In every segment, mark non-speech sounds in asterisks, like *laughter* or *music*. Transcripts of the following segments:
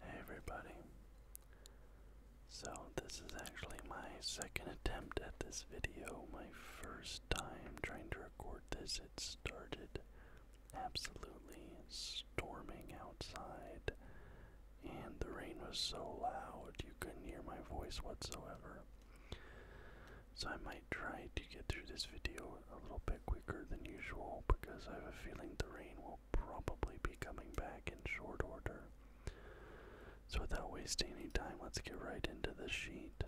Hey everybody. So, this is actually my second attempt at this video. My first time trying to record this. It started absolutely storming outside, and the rain was so loud you couldn't hear my voice whatsoever. So, I might try to get through this video a little bit quicker than usual because I have a feeling the rain will probably be coming back in short order. So, without wasting any time, let's get right into the sheet.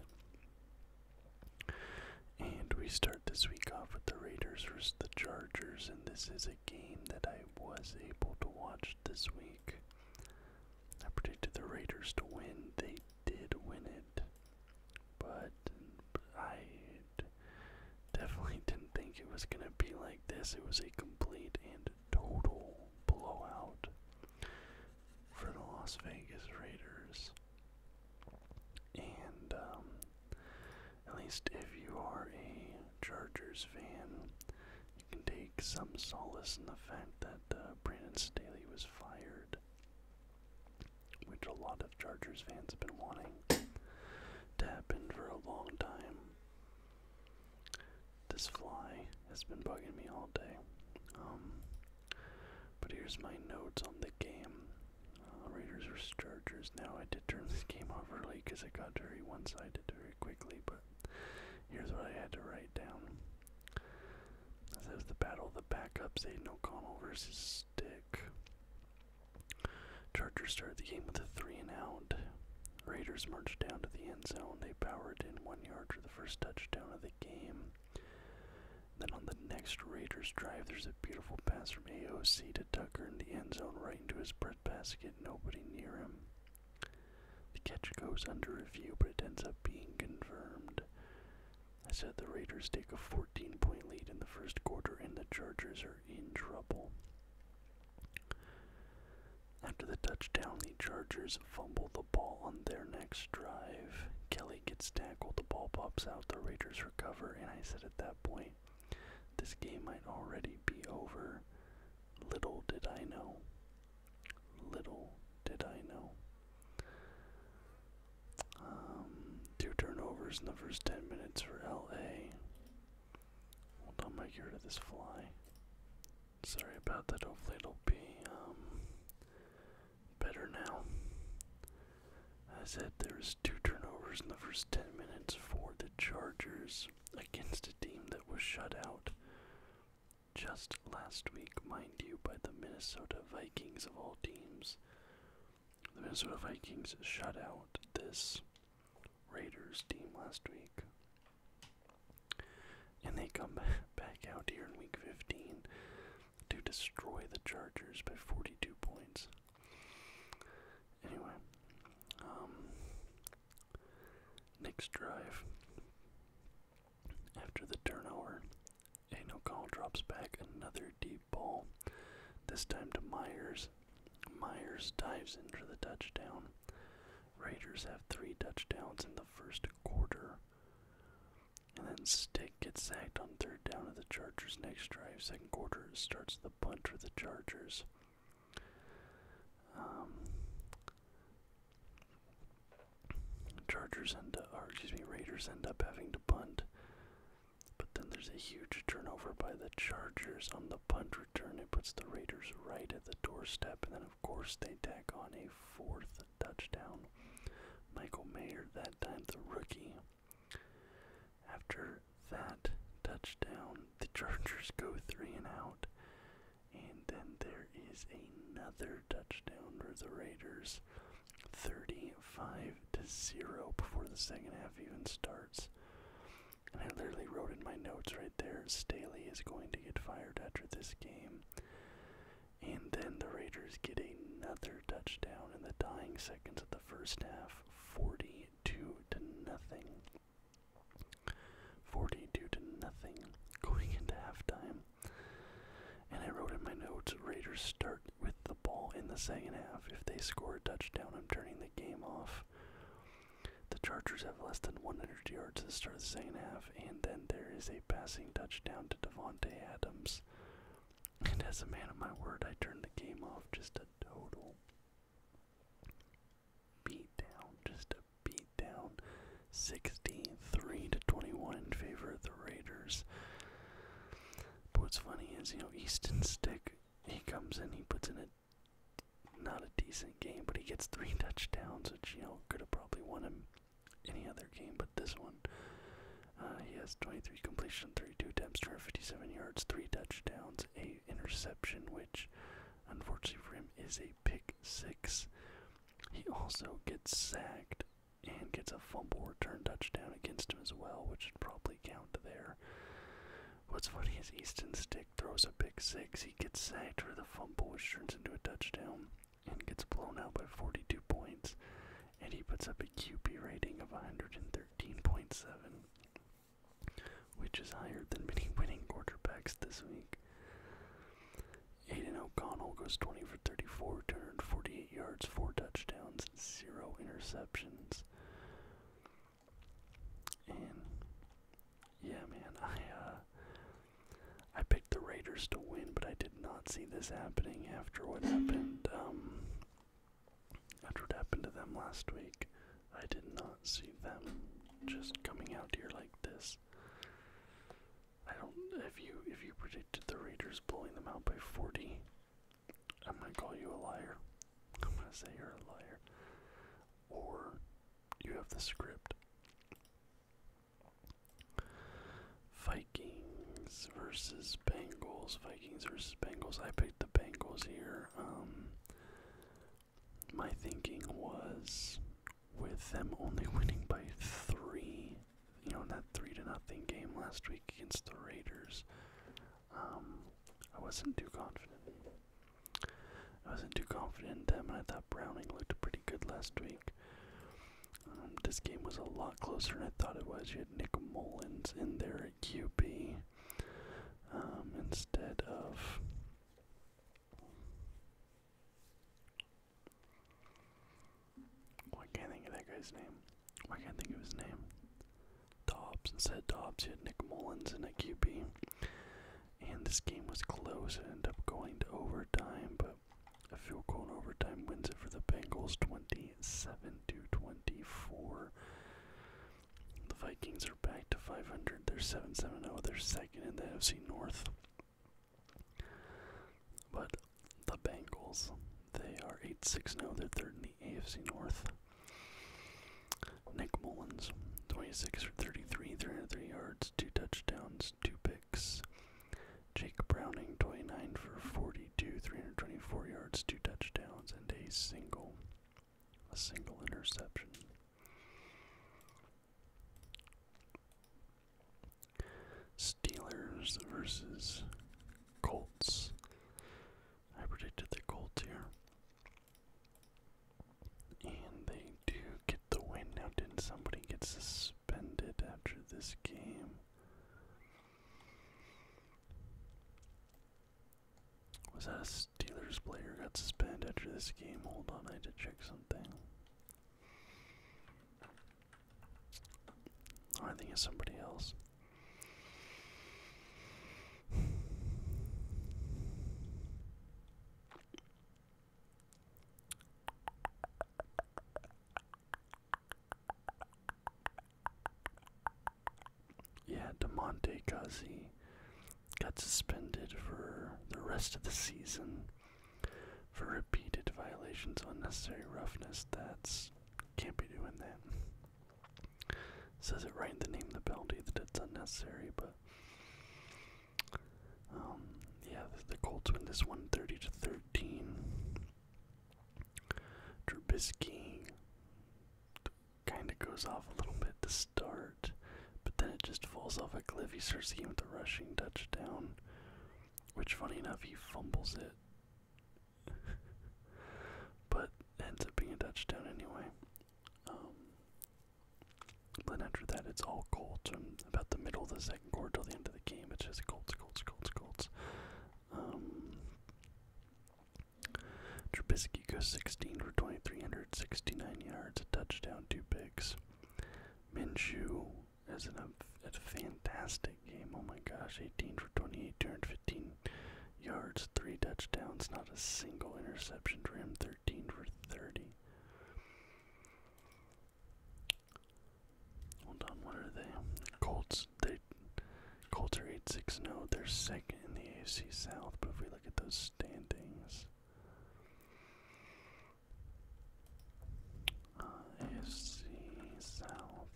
And we start this week off with the Raiders versus the Chargers, and this is a game that I was able to watch this week. I predicted the Raiders to win, they did win it but I definitely *laughs* didn't think it was going to be like this. It was a complete and total blowout for the Las Vegas Raiders. And um, at least if you are a Chargers fan, you can take some solace in the fact that uh, Brandon Staley was fired which a lot of Chargers fans have been wanting to happen for a long time. This fly has been bugging me all day. Um, but here's my notes on the game. Uh, Raiders versus Chargers. Now I did turn this game off early because it got very one-sided very quickly, but here's what I had to write down. This was the battle of the backups, Aiden O'Connell versus Stick. Chargers started the game with a three and out. Raiders marched down to the end zone. They powered in one yard for the first touchdown of the game. Then on the next Raiders drive, there's a beautiful pass from AOC to Tucker in the end zone, right into his bread basket. Nobody near him. The catch goes under review, but it ends up being confirmed. I said the Raiders take a 14 point lead in the first quarter, and the Chargers are in trouble. After the touchdown, the Chargers fumble the ball on their next drive. Kelly gets tackled, the ball pops out, the Raiders recover, and I said at that point, this game might already be over. Little did I know. Little did I know. Um, two turnovers in the first 10 minutes for LA. Hold on, might get rid of this fly. Sorry about that. Hopefully, it'll be um, better now. I said there was two turnovers in the first 10 minutes for the Chargers against a team that was shut out just last week, mind you, by the Minnesota Vikings of all teams. The Minnesota Vikings shut out this Raiders team last week. And they come *laughs* back out here in week 15 to destroy the Chargers by 42 points. Anyway, um, next drive. After the turnover, and drops back another deep ball. This time to Myers. Myers dives into the touchdown. Raiders have three touchdowns in the first quarter. And then Stick gets sacked on third down of the Chargers next drive. Second quarter starts the punt for the Chargers. Um, Chargers end up, excuse me, Raiders end up having to punt. But then there's a huge turnover by the Chargers on the punt return. It puts the Raiders right at the doorstep. And then, of course, they tack on a fourth touchdown. Michael Mayer, that time the rookie. After that touchdown, the Chargers go three and out. And then there is another touchdown for the Raiders. 35 to 0 before the second half even starts. And I literally wrote in my notes right there Staley is going to get fired after this game. And then the Raiders get another touchdown in the dying seconds of the first half 42 to nothing. 42 to nothing going into halftime. And I wrote in my notes Raiders start with the ball in the second half. If they score a touchdown, I'm turning the game off. The Chargers have less than 100 yards to start the second half, and then there is a passing touchdown to Devonte Adams. And as a man of my word, I turn the game off. Just a total beat Just a beat down. 63 to 21 in favor of the Raiders. But what's funny is, you know, Easton Stick, he comes in, he puts in a not a decent game, but he gets three touchdowns, which, you know, could have probably won him any other game, but this one. Uh, he has 23 completion, 32 attempts, fifty-seven yards, 3 touchdowns, a interception, which, unfortunately for him, is a pick six. He also gets sacked and gets a fumble return touchdown against him as well, which should probably count there. What's funny is Easton Stick throws a big six. He gets sacked for the fumble, which turns into a touchdown, and gets blown out by 42 points. And he puts up a QB rating of 113.7, which is higher than many *laughs* winning quarterbacks this week. Aiden O'Connell goes 20 for 34, 248 yards, 4 touchdowns, 0 interceptions. And yeah, man, I uh, I picked the Raiders to win, but I did not see this happening after what happened um after what happened to them last week. I did not see them just coming out here like this. I don't if you if you predicted the Raiders blowing them out by 40, I'm gonna call you a liar. I'm gonna say you're a liar. Or you have the script. Vikings versus Bengals. Vikings versus Bengals. I picked the Bengals here. Um, my thinking was with them only *laughs* winning by three, you know, in that three to nothing game last week against the Raiders. Um, I wasn't too confident. I wasn't too confident in them, and I thought Browning looked pretty good last week. Um, this game was a lot closer than I thought it was. You had Nick Mullins in there at QB um, instead of. Well, can't think of that guy's name. I can't think of his name? Dobbs. Instead Dobbs, He had Nick Mullins in a QB. And this game was close. It ended up going to overtime, but a field goal overtime wins it for the Bengals 27 to 24. The Vikings are back to 500. They're 7 7 0. They're second in the NFC North. But the Bengals. They are 8 6 now. They're third in the AFC North. Nick Mullins, 26 for 33, 303 yards, 2 touchdowns, 2 picks. Jake Browning, 29 for 42, 324 yards, 2 touchdowns, and a single, a single interception. Steelers versus Colts. I predicted the Colts here. And they do get the win. Now, didn't somebody get suspended after this game? Was that a Steelers player got suspended after this game? Hold on, I need to check something. Oh, I think it's somebody else. Yeah, DeMonte Guzzi got suspended for the rest of the season for repeated violations of unnecessary roughness. That's can't be doing that says it right in the name of the penalty that it's unnecessary, but um, yeah, the, Colts win this one thirty to thirteen. Trubisky kind of goes off a little bit to start, but then it just falls off a cliff. He starts the with a rushing touchdown, which, funny enough, he fumbles it but ends up being a touchdown anyway. Um, then after that, it's all Colts about the middle of the second quarter till the end of the game. It's just Colts, Colts, Colts, Colts. Um, Trubisky goes 16 for 2,369 yards, a touchdown, two picks. Minshew has an, a, a fantastic game. Oh my gosh, 18 for 28, turned fifteen yards, three touchdowns, not a single interception for 13 for 30. Hold on, what are they? Colts, they Colts are 8 6 0. They're second in the AFC South, but if we look at those standings, uh, South.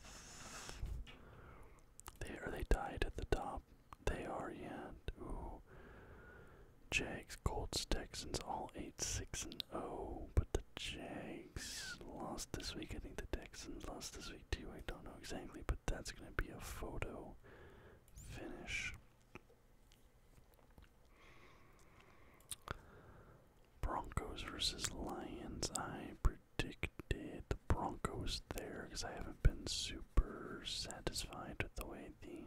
They or they died at the top. They are yet. Ooh. Jags, Colts, Texans, all eight six and oh, but the Jags lost this week. I think the Texans lost this week too. I don't know exactly, but that's gonna be a photo finish. Broncos versus Lions. I predicted the Broncos there because I haven't been super satisfied with the way the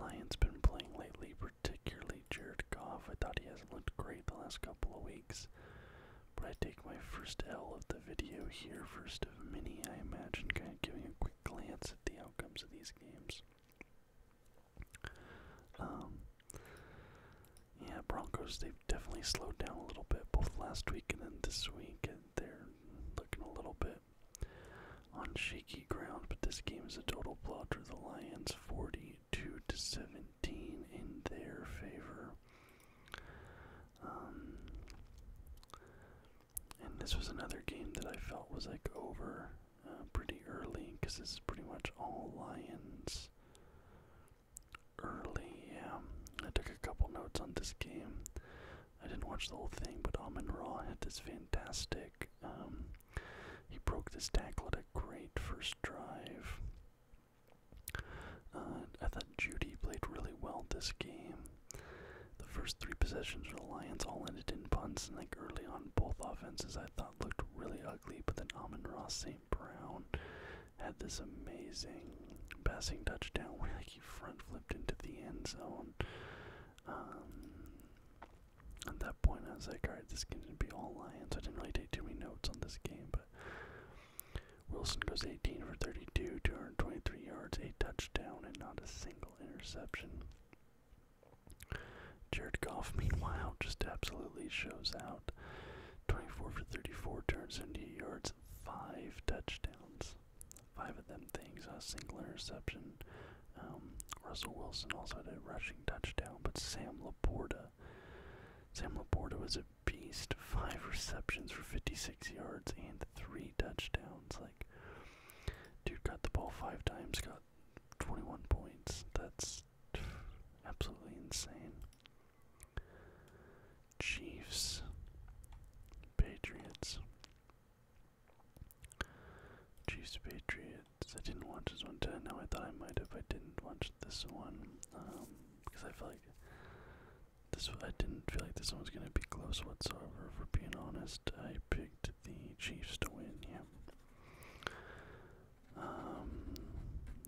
Lions been playing lately, particularly Jared Goff. I thought he hasn't looked great the last couple of weeks. But I take my first L of the video here, first of many, I imagine, kind of giving a quick glance at the outcomes of these games. Um, yeah, Broncos, they've definitely slowed down a little bit, both last week and then this week, and they're looking a little bit on shaky ground, but this game is a total blowout for the Lions, 42 to 17 in their favor. Um, and this was another game that I felt was like over uh, pretty early because this is pretty much all Lions early. I took a couple notes on this game. I didn't watch the whole thing, but Amon Ra had this fantastic. Um, he broke this tackle at a great first drive. Uh, I thought Judy played really well this game. The first three possessions for the Lions all ended in punts, and like early on, both offenses I thought looked really ugly. But then Amon Ross St. Brown had this amazing passing touchdown where he front flipped into the end zone. Um, at that point, I was like, all right, this can be all Lions. I didn't really take too many notes on this game, but Wilson goes 18 for 32, 223 yards, a touchdown, and not a single interception. Jared Goff, *laughs* meanwhile, just absolutely shows out. 24 for 34, turns 278 yards, 5 touchdowns. Five of them things, a single interception. Um, Russell Wilson also had a rushing touchdown, but Sam Laporta. Sam Laporta was a beast. Five receptions for 56 yards and three touchdowns. Like, dude got the ball five times, got 21 points. That's absolutely insane. Chiefs, Patriots, Chiefs, Patriots. I didn't watch this one. Today. Now I thought I might have. I didn't watch this one because um, I feel like this. I didn't feel like this one was gonna be close whatsoever. For being honest, I picked the Chiefs to win. Yeah. Um,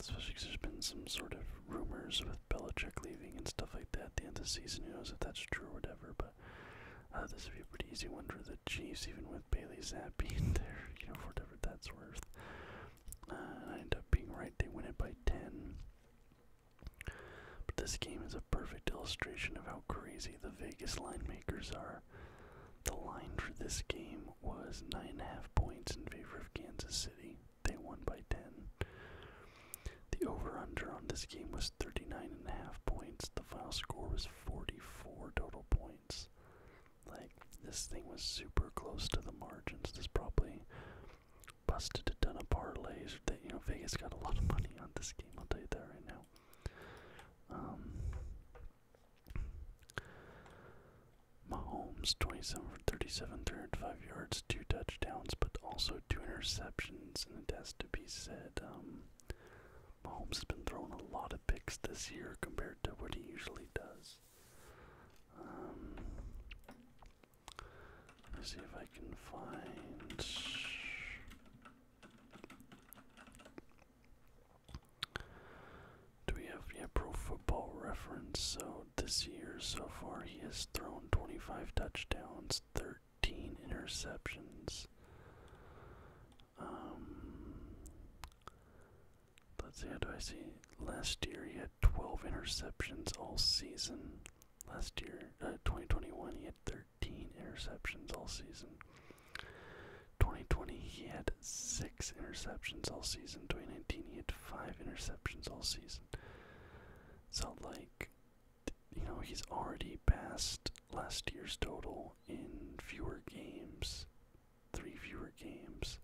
especially there's been some sort of rumors with Belichick leaving and stuff like that at the end of the season. Who knows if that's true or whatever, but uh, this would be a pretty easy one for the Chiefs, even with Bailey Zapp *laughs* being there, you know, for whatever that's worth. Uh, I end up being right, they win it by 10. But this game is a perfect illustration of how crazy the Vegas line makers are. The line for this game was 9.5 points in favor of Kansas City they won by 10. The over-under on this game was thirty-nine and a half points. The final score was 44 total points. Like this thing was super close to the margins. This probably busted a ton of parlays. That you know Vegas got a lot of money on this game. I'll tell you that right now. Um, Mahomes, 27 for 37, 305 yards, two touchdowns, but also two interceptions, and it has to be said, um, Mahomes has been throwing a lot of picks this year compared to what he usually does. Um, let us see if I can find do we have yeah pro football reference so this year so far he has thrown 25 touchdowns 13 interceptions um, let's see how do i see last year he had 12 interceptions all season last year uh, 2021 he had 13 interceptions all season 2020 he had six interceptions all season 2019 he had five interceptions interceptions all season. So, like, you know, he's already passed last year's total in fewer games, three fewer games.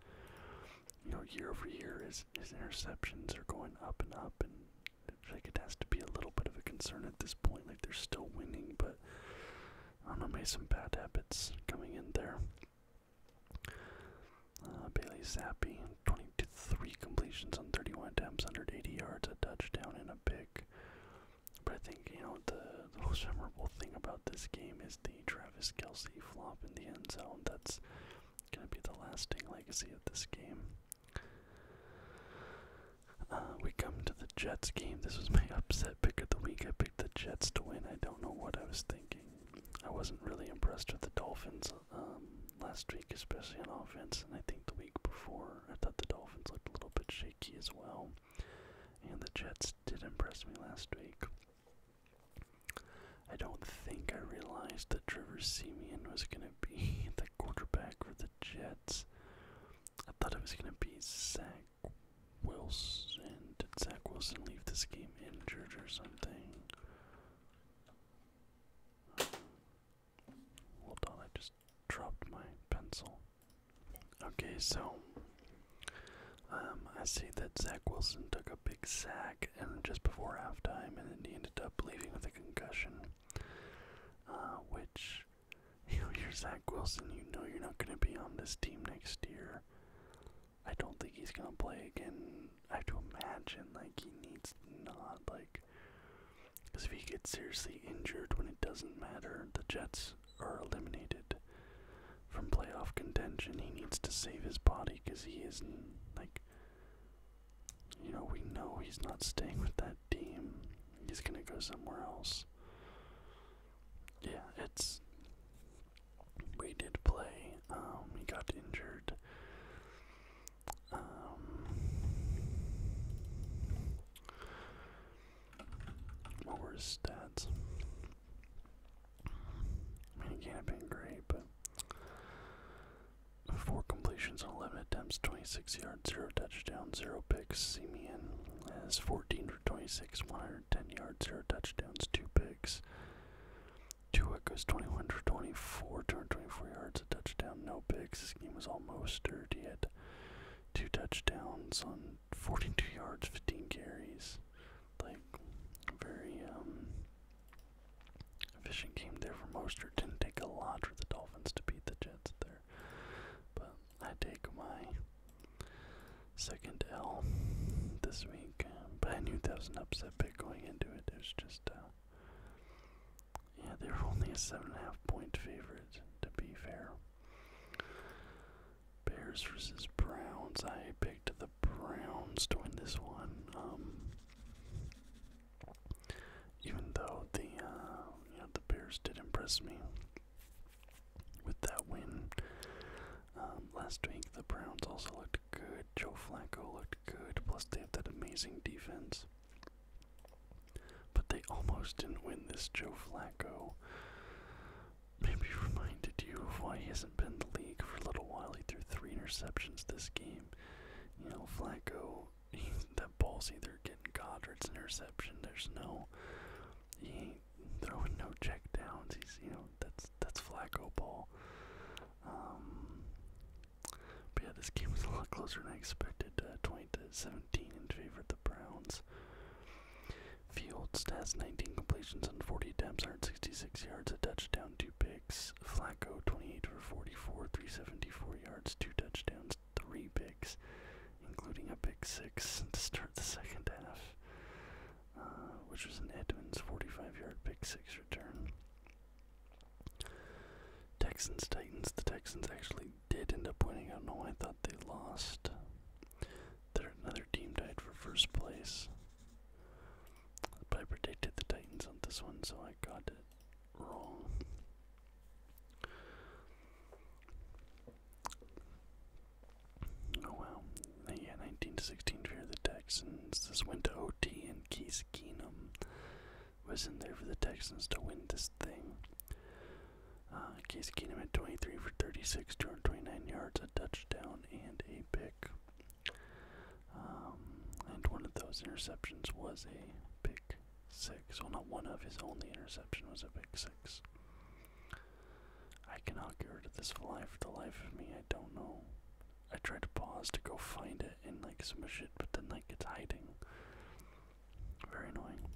You know, year over year, his, his interceptions are going up and up, and I like it has to be a little bit of a concern at this point. Like, they're still winning, but I don't know, maybe some bad habits coming in there. Uh, Bailey Zappi, 23 completions on 31 attempts, eighty yards, a touchdown, and a pick. But I think, you know, the, most memorable thing about this game is the Travis Kelsey flop in the end zone. That's going to be the lasting legacy of this game. Uh, we come to the Jets game. This was my *laughs* upset pick of the week. I picked the Jets to win. I don't know what I was thinking. I wasn't really impressed with the Dolphins um, last week, especially on offense, and I think the week before I thought the Dolphins looked a little bit shaky as well. And the Jets did impress me last week. I don't think I realized that Trevor Simeon was going to be *laughs* the quarterback for the Jets. I thought it was going to be Zach Wilson. Did Zach Wilson leave this game? injured or something. Um, hold on, I just dropped my pencil. Okay, so um, I see that Zach Wilson took a big sack and just before halftime, and then he ended up leaving with a concussion, uh, which *laughs* you're Zach Wilson. You know you're not going to be on this team next year. I don't think he's gonna play again. I have to imagine like he needs not like, because if he gets seriously injured when it doesn't matter, the Jets are eliminated from playoff contention. He needs to save his body because he is like, you know, we know he's not staying with that team. He's gonna go somewhere else. Yeah, it's we did play. Um, he got injured. Um, what were his stats? I he can't been great, but four completions on 11 attempts, 26 yards, zero touchdowns, zero picks. Simeon has 14 for 26, 110 yards, zero touchdowns, two picks. Tua goes 21 for 24, twenty-four yards, a touchdown, no picks. This game was all Mostert. He had two touchdowns on 42 yards, 15 carries. Like, very um, efficient game there for Mostert. Didn't take a lot for the Dolphins to beat the Jets there. But I take my second L this week, but I knew that was an upset pick going into it. It was just, uh, yeah, they were only a seven and a half point favorite. To be fair, Bears versus Browns. I picked the Browns to win this one. Um, even though the uh, the Bears did impress me with that win um, last week, the Browns also looked good. Joe Flacco looked good. Plus, they have that amazing defense. But they almost didn't win this. Joe Flacco maybe reminded you of why he hasn't been the league for a little while. He threw three interceptions this game. You know, Flacco, that ball's either getting caught or it's an interception. There's no, he ain't throwing no check downs. He's, you know, that's that's Flacco ball. Um, but yeah, this game was a lot closer than I expected. Uh, 20 to 17 in favor of the Browns. Field stats: 19 completions on 40 attempts, sixty-six yards, a touchdown, two picks. Flacco 28 for 44, 374 yards, two touchdowns, three picks, including a pick six to start the second half. Uh, which was an Edmonds 45-yard pick six return. Texans Titans. The Texans actually did end up winning. I don't know why I thought they lost. There another team died for first place. I predicted the Titans on this one, so I got it wrong. Oh wow. Uh, yeah, 19 to 16 for the Texans. This went to OT, and Case Keenum was in there for the Texans to win this thing. Uh, Case Keenum had 23 for 36, 229 yards, a touchdown, and a pick. Um, and one of those interceptions was a pick six. Well, not one of his only interception was a pick six. I cannot get rid of this fly for the life of me. I don't know I tried to pause to go find it and like some shit, but then like it's hiding. Very annoying.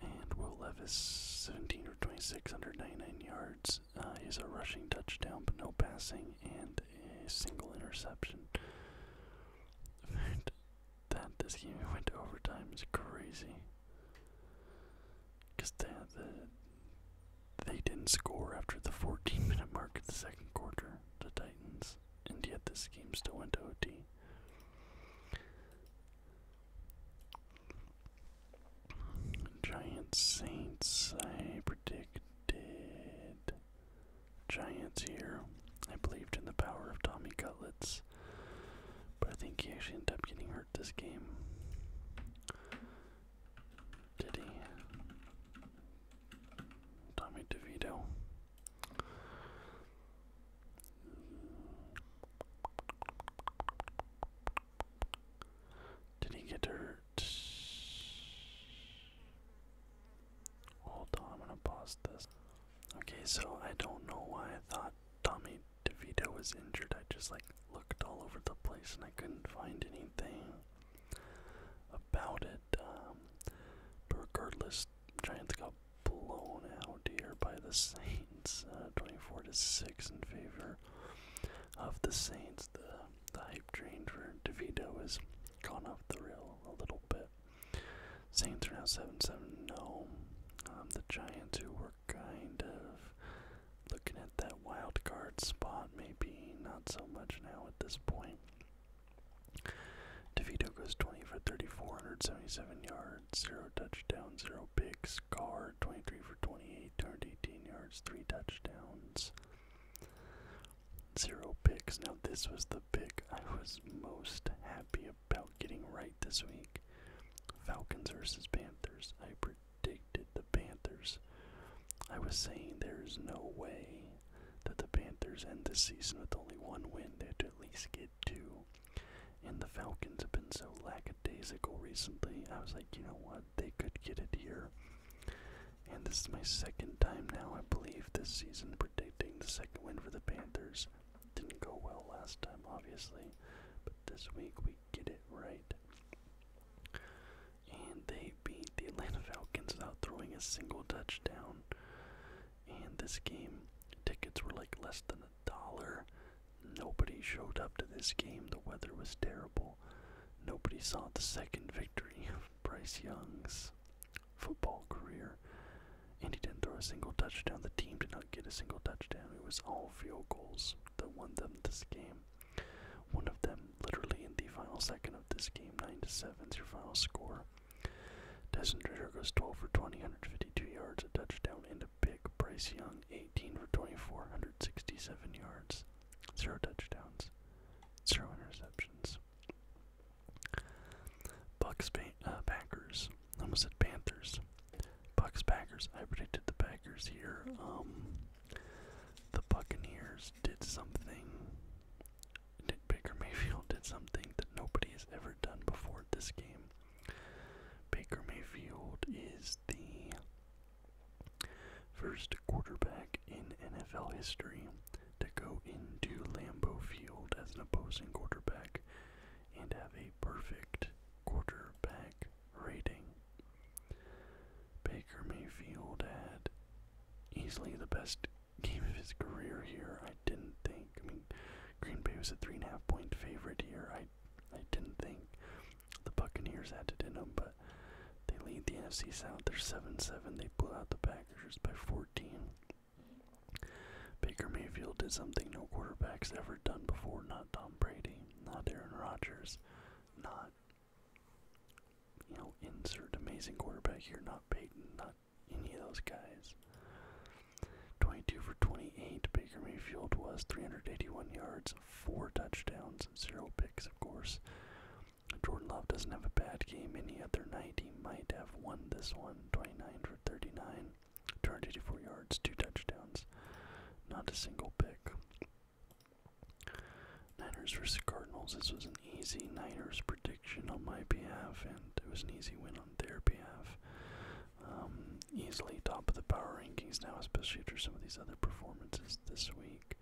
And Will Levis, 17 or 26, 199 yards. Uh, he's a rushing touchdown, but no passing, and a single interception. *laughs* that this game went to overtime is crazy. Because the, they didn't score after the 14 minute mark of the second quarter, the Titans, and yet this game still went to OT. Giants Saints, I predicted Giants here. I believed in the power of Tommy Cutlets. But I think he actually ended up getting hurt this game. Did he? Tommy DeVito. Did he get hurt? Hold on, I'm gonna pause this. Okay, so I don't know why I thought Tommy DeVito was injured, I just like looked all over the place and I couldn't find anything about it. Um, but regardless, Giants got blown out here by the Saints, uh, 24 to six in favor of the Saints. The the hype train for DeVito has gone off the rail a little bit. Saints are now 7 7 0. Um, the Giants, who were kind of looking at that wild card spot, maybe not so much now at this point. DeVito goes 20 for 34, yards, 0 touchdowns, 0 picks. Carr 23 for 28, 218 yards, 3 touchdowns, 0 picks. Now, this was the pick I was most happy about getting right this week Falcons versus Panthers. I predicted predicted the Panthers. I was saying there is no way that the Panthers end the season with only one win. They have to at least get two. And the Falcons have been so lackadaisical recently. I was like, you know what? They could get it here. And this is my second time now, I believe, this season predicting the second win for the Panthers. Didn't go well last time, obviously, but this week we get it right. And they beat the Atlanta Falcons without throwing a single touchdown. And this game, tickets were like less than a dollar. Nobody showed up to this game. The weather was terrible. Nobody saw the second victory of Bryce Young's football career. And he didn't throw a single touchdown. The team did not get a single touchdown. It was all field goals that won them this game. One of them, literally in the final second of this game, 9 to 7 is your final score. Desmond Ritter goes 12 for twenty hundred fifty-two yards, a touchdown, and a pick. Bryce Young, 18 for twenty-four hundred sixty-seven yards, 0 touchdowns, 0 interceptions. Bucks, ba uh, almost Panthers. Bucks Packers. I predicted the Packers here. Um, the Buccaneers did something. Did Baker Mayfield did something that nobody has ever done before this game. Baker Mayfield is the first quarterback in NFL history to go into Lambeau Field as an opposing quarterback and have a perfect quarterback rating. Baker Mayfield had easily the best game of his career here. I didn't think. I mean, Green Bay was a three and a half point favorite here. I, I didn't think the Buccaneers had to do them, but they lead the NFC South. They're seven seven. They blew out the Packers by fourteen. Baker Mayfield did something no quarterback's ever done before. Not Tom Brady. Not Aaron Rodgers not, you know, insert amazing quarterback here, not Peyton, not any of those guys. 22 for 28, Baker Mayfield was 381 yards, 4 touchdowns, 0 picks, of course. Jordan Love doesn't have a bad game any other night. He might have won this one, 29 for 39, 284 yards, 2 touchdowns, not a single pick. Niners versus Cardinals. This was an easy Niners prediction on my behalf, and it was an easy win on their behalf. Um, easily top of the power rankings now, especially after some of these other performances this week.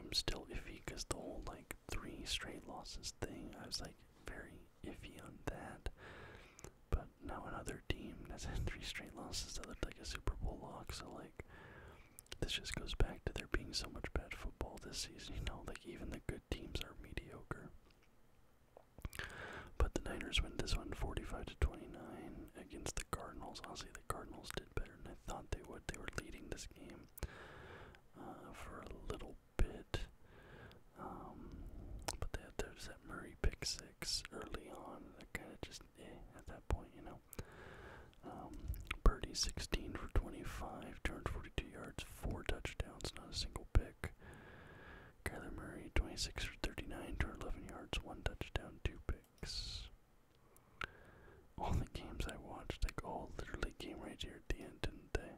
I'm still iffy because the whole like three straight losses thing, I was like very iffy on that but now another team has had three straight losses that looked like a Super Bowl lock. So like, this just goes back to there being so much bad football this season. You know, like even the good teams are mediocre. But the Niners win this one, 45 to 29, against the Cardinals. Honestly, the Cardinals did better than I thought they would. They were leading this game uh, for a little bit, um, but they had there's that Murray pick early on. that kind of just eh, at that point, you know. Um, birdie 16 for 25, forty-two yards, four touchdowns, not a single pick. Kyler Murray 26 for 39, eleven yards, one touchdown, two picks. All the games I watched, like all literally came right here at the end, didn't they?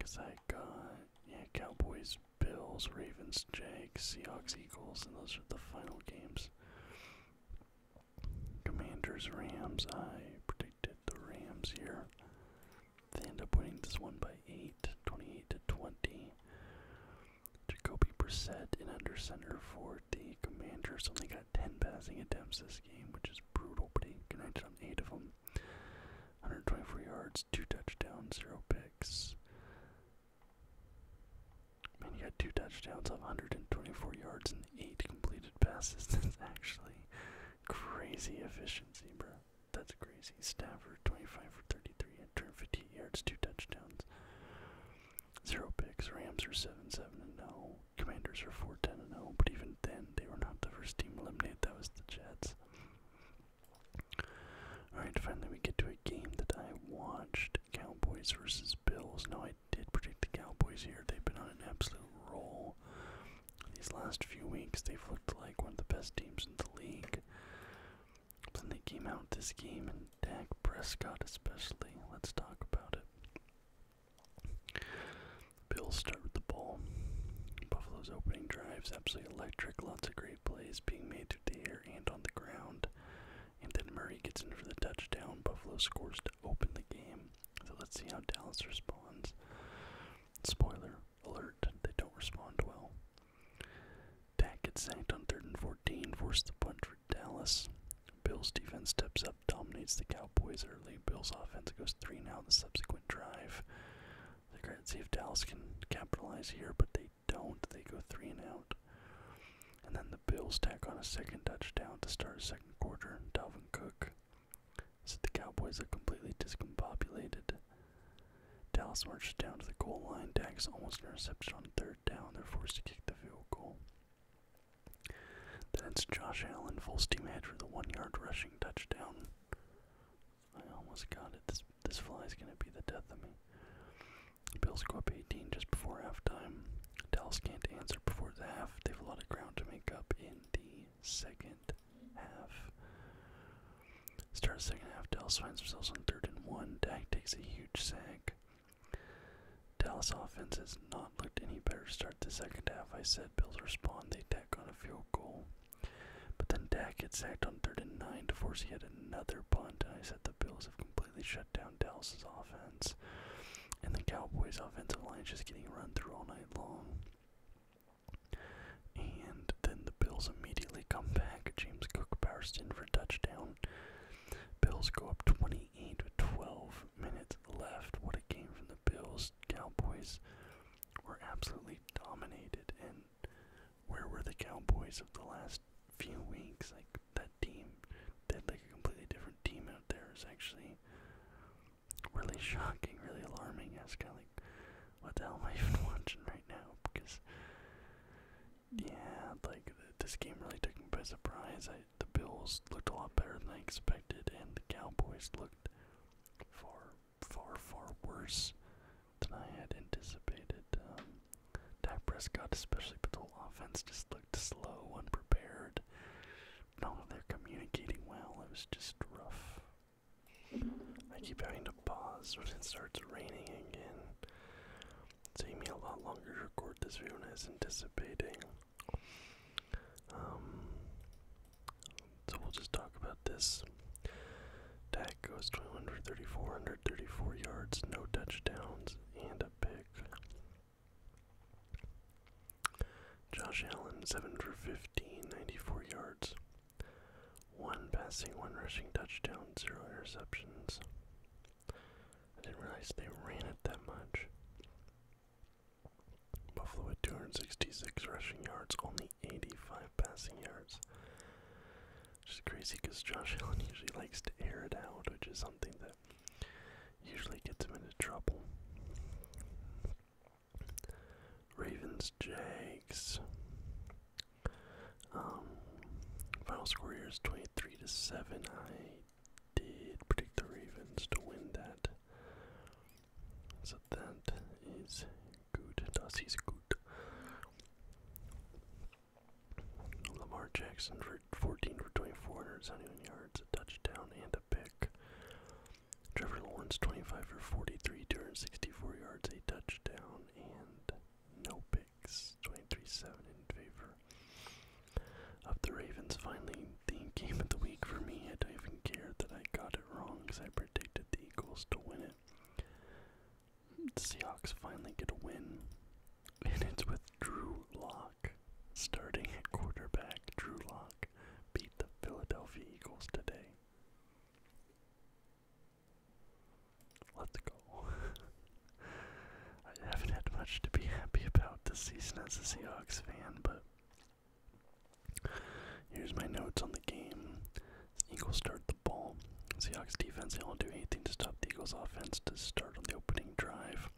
Cause I got yeah Cowboys Bills, Ravens, Jags, Seahawks, Eagles, and those are the final games. Commanders, Rams, I predicted the Rams here. They end up winning this one by 8, 28 to 20. Jacoby Brissett in under center for the Commanders. Only got 10 passing attempts this game, which is brutal, but he connected on 8 of them. 124 yards, 2 touchdowns, 0 picks. Man, you got two touchdowns on 124 yards and eight completed passes. *laughs* That's actually crazy efficiency, bro. That's crazy. Stafford, 25 for 33, and 150 yards, two touchdowns, zero picks. Rams are 7 7 and 0. Commanders are 4 10 and 0. But even then, they were not the first team eliminated. That was the Jets. Alright, finally we get to a game that I watched Cowboys versus Bills. Now, I did predict the Cowboys here. They've been on an absolute roll. These last few weeks, they've looked like one of the best teams in the league. Then they came out this game, and Dak Prescott, especially. Let's talk about it. Bills start with the ball. Buffalo's opening drives absolutely electric. Lots of great plays being made through the air and on the ground. And then Murray gets in for the touchdown. Buffalo scores to open the game. So let's see how Dallas responds. Spoiler alert, they don't respond well. Dak gets sacked on 3rd and 14, forces the punt for Dallas. Bills defense steps up, dominates the Cowboys early. Bills offense goes 3 now in the subsequent drive. They're going see if Dallas can capitalize here, but they don't. They go three and out. And then the Bills tack on a second touchdown to start second quarter. Dalvin Cook said the Cowboys are completely discombobulated. Dallas marches down to the goal line. Dax almost intercepted on third down. They're forced to kick the field goal. Then it's Josh Allen, full steam ahead for the one yard rushing touchdown. I almost got it. This this fly is gonna be the death of me. Bills go up 18 just before halftime. Dallas can't answer before the half. They have a lot of ground to make up in the second half. Start the second half. Dallas finds themselves on third and one. Dak takes a huge sack. Dallas offense has not looked any better. Start the second half. I said Bills respond. They tack on a field goal. But then Dak gets sacked on third and nine to force yet another punt. And I said the Bills have completely shut down Dallas's offense. And the Cowboys' offensive line is just getting run through all night long. And then the Bills immediately come back. James Cook burst in for a touchdown. Bills go up 28 with 12 minutes left. What a game from the Bills. Cowboys were absolutely dominated, and where were the Cowboys of the last few weeks? Like that team, they had like a completely different team out there. Is actually really *laughs* shocking, really alarming. I was kind of like, what the hell am I even *laughs* watching right now? Because yeah, like this game really took me by surprise. I the Bills looked a lot better than I expected, and the Cowboys looked far, far, far worse than I had anticipated. Um, Dak Prescott, especially, but the offense just looked slow, unprepared. Not None they're communicating well. It was just rough. I keep having to pause when it starts raining again. It's taking me a lot longer to record this video than I was anticipating. Um, so we'll just talk about this. Dak goes 21 for 34, yards, no touchdowns, and a pick. Josh Allen, 7 for 15, 94 yards. One passing, one rushing touchdown, zero interceptions. I didn't realize they ran it that much. Buffalo with 266 rushing yards, only 85 passing yards. Which is crazy because Josh *laughs* Allen usually likes to air it out, which is something that usually gets him into trouble. Ravens, Jags. Um, final score here is 23 to 7. I did predict the Ravens to win that. So that is good. Das ist good. Lamar Jackson for 14 for 24, 171 yards, a touchdown, and a pick. Trevor Lawrence 25 for 43, 264 yards, a touchdown, and no picks. 23-7 in favor of the Ravens. Finally, the game of the week for me. I don't even care that I got it wrong because I predicted the Eagles to win it. The Seahawks finally get a win, *laughs* and it's with Drew Lock Starting at quarterback, Drew Lock beat the Philadelphia Eagles today. Let's go. *laughs* I haven't had much to be happy about this season as a Seahawks fan, but here's my notes on the game. The Eagles start the ball. Seahawks defense, they don't do anything to stop the Eagles offense to start on the opening drive.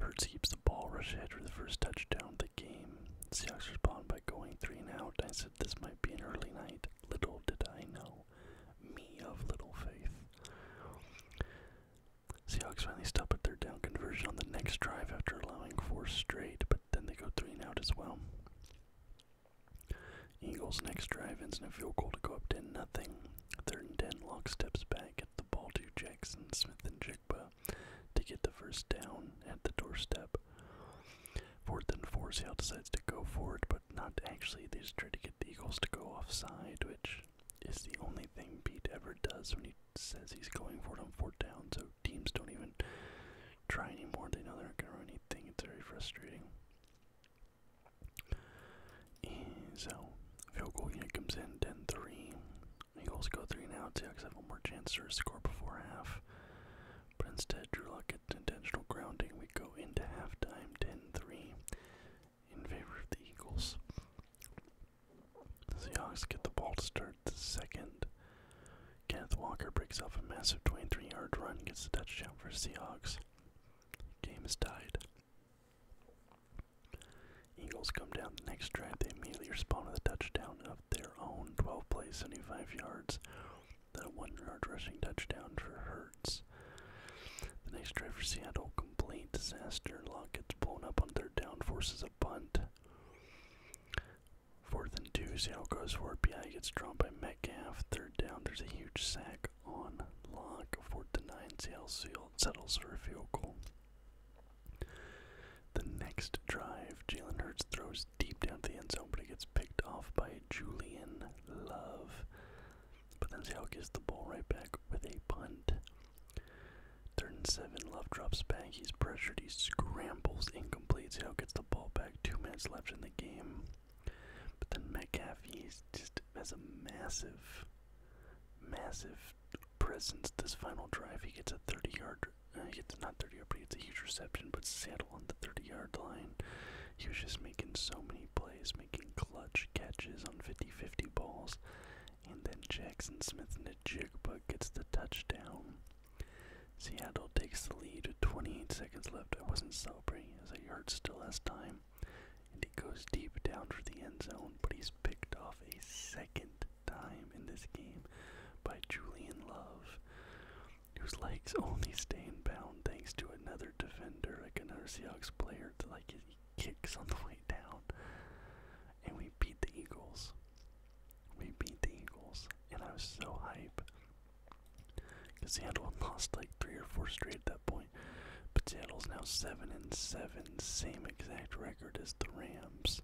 Hertz keeps the ball, rush ahead for the first touchdown of the game. Seahawks respond by going three and out. I said this might be an early night. Little did I know. Me of little faith. Seahawks finally stop at third down conversion on the next drive after allowing four straight, but then they go three and out as well. Eagles next drive ends in a field goal to go up 10 nothing. Third and 10, Lock steps back, gets the ball to Jackson, Smith, and Jigba to get the first down at the doorstep. Fourth and 4, Seattle decides to go for it, but not actually. They just try to get the Eagles to go offside, which is the only thing Pete ever does when he says he's going for it on fourth down, so teams don't even try anymore. They know they're not going to run anything. It's very frustrating so, field goal unit comes in 10 3. Eagles go 3 now, too, because I have one more chance to score before half. But instead, Drew Luck gets intentional grounding. We go into halftime 10 3 in favor of the Eagles. The Seahawks get the ball to start the second. Kenneth Walker breaks off a massive 23 yard run, gets the touchdown over Seahawks. Game is tied. Eagles come down the next drive. They immediately respond with a touchdown of their own 12 plays, 75 yards. the one yard rushing touchdown for Hertz. The next drive for Seattle, complete disaster. Lock gets blown up on third down, forces a punt. Fourth and two, Seattle goes for it. BI gets drawn by Metcalf. Third down. There's a huge sack on Locke. Fourth to nine. Seattle seal settles for a field goal. The next drive, Jalen Hurts throws deep down the end zone, but he gets picked off by Julian Love. But then Seattle gets the ball right back with a punt. Turn seven, Love drops back. He's pressured. He scrambles incomplete. Seattle gets the ball back. Two minutes left in the game. But then McAfee's just has a massive, massive presence. This final drive, he gets a 30-yard. Uh, he gets not 30 yard, but he gets a huge reception. But Saddle on the 30-yard line. He was just making so many plays, making clutch catches on 50-50 balls. And then Jackson Smith and Jigba gets the touchdown. Seattle takes the lead with 28 seconds left. I wasn't celebrating Riley a yard still has time, and he goes deep down for the end zone, but he's picked off a second time in this game by Julian Love, whose legs only stay in bounds thanks to another defender, like another Seahawks player, to like his kicks on the way down. And we beat the Eagles. We beat the Eagles, and I was so hype. Because Seattle had *laughs* lost like three or four straight at that point. But Seattle's now seven and seven, same exact record as the Rams.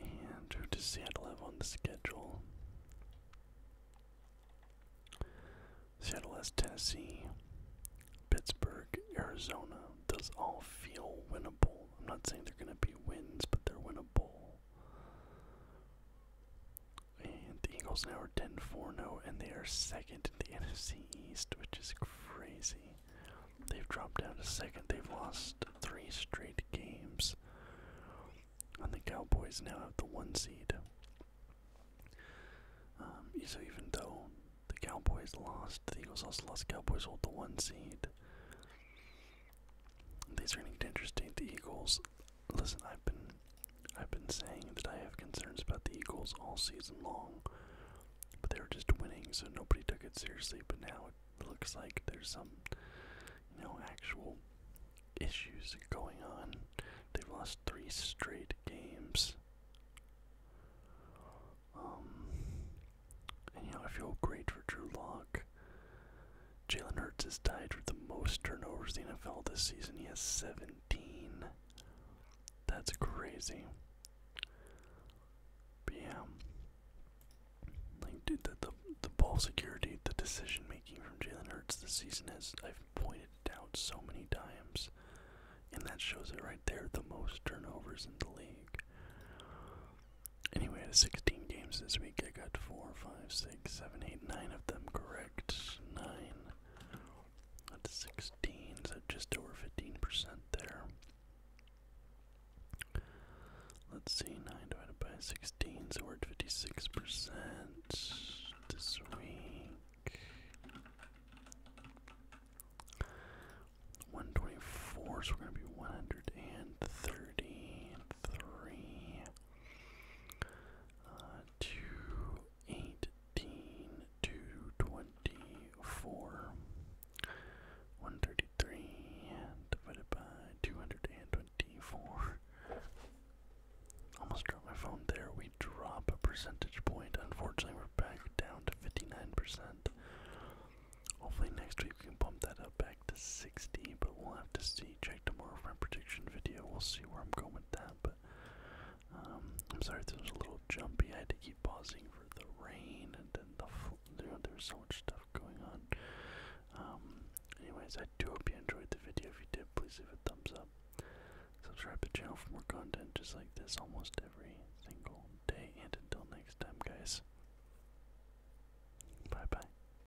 And who does Seattle have on the schedule? Seattle has Tennessee, Pittsburgh, Arizona. Does all feel winnable. I'm not saying they're going to be wins, but they're winnable. And the Eagles now are 10 4 0, and they are second in the NFC East, which is crazy. They've dropped down to second. They've lost three straight games. And the Cowboys now have the one seed. Um, so even though the Cowboys lost, the Eagles also lost. Cowboys hold the one seed. These are going to getting interesting. The Eagles listen, I've been I've been saying that I have concerns about the Eagles all season long, but they were just winning, so nobody took it seriously. But now it looks like there's some, you know, actual issues going on. They've lost three straight games. Um, you know, I feel great for Drew Locke. Jalen Hurts has tied for the most turnovers in the NFL this season. He has 17. That's crazy. But yeah. Like, the, the, ball security, the decision making from Jalen Hurts this season has, I've pointed out so many times. And that shows it right there the most turnovers in the league. Anyway, out of 16 games this week, I got 4, 5, 6, six, seven, eight, nine of them correct. Nine. That's 16, so just over 15% there. Let's see, 9 divided by 16, so we're at 56% this week. 124, so we're going to be 133 uh, to 24. 133 divided by 224. Almost dropped my phone there. We drop a percentage point. Unfortunately, we're back down to 59%. Hopefully, next week we can bump that up back to 60, but we'll have to see. Check tomorrow for my prediction video. We'll see where I'm going with that. But um, I'm sorry if this was a little jumpy. I had to keep pausing for the rain and then the you there's so much stuff going on. Um, anyways, I do hope you enjoyed the video. If you did, please leave a thumbs up. Subscribe to the channel for more content just like this almost every single day. And until next time, guys. Bye bye.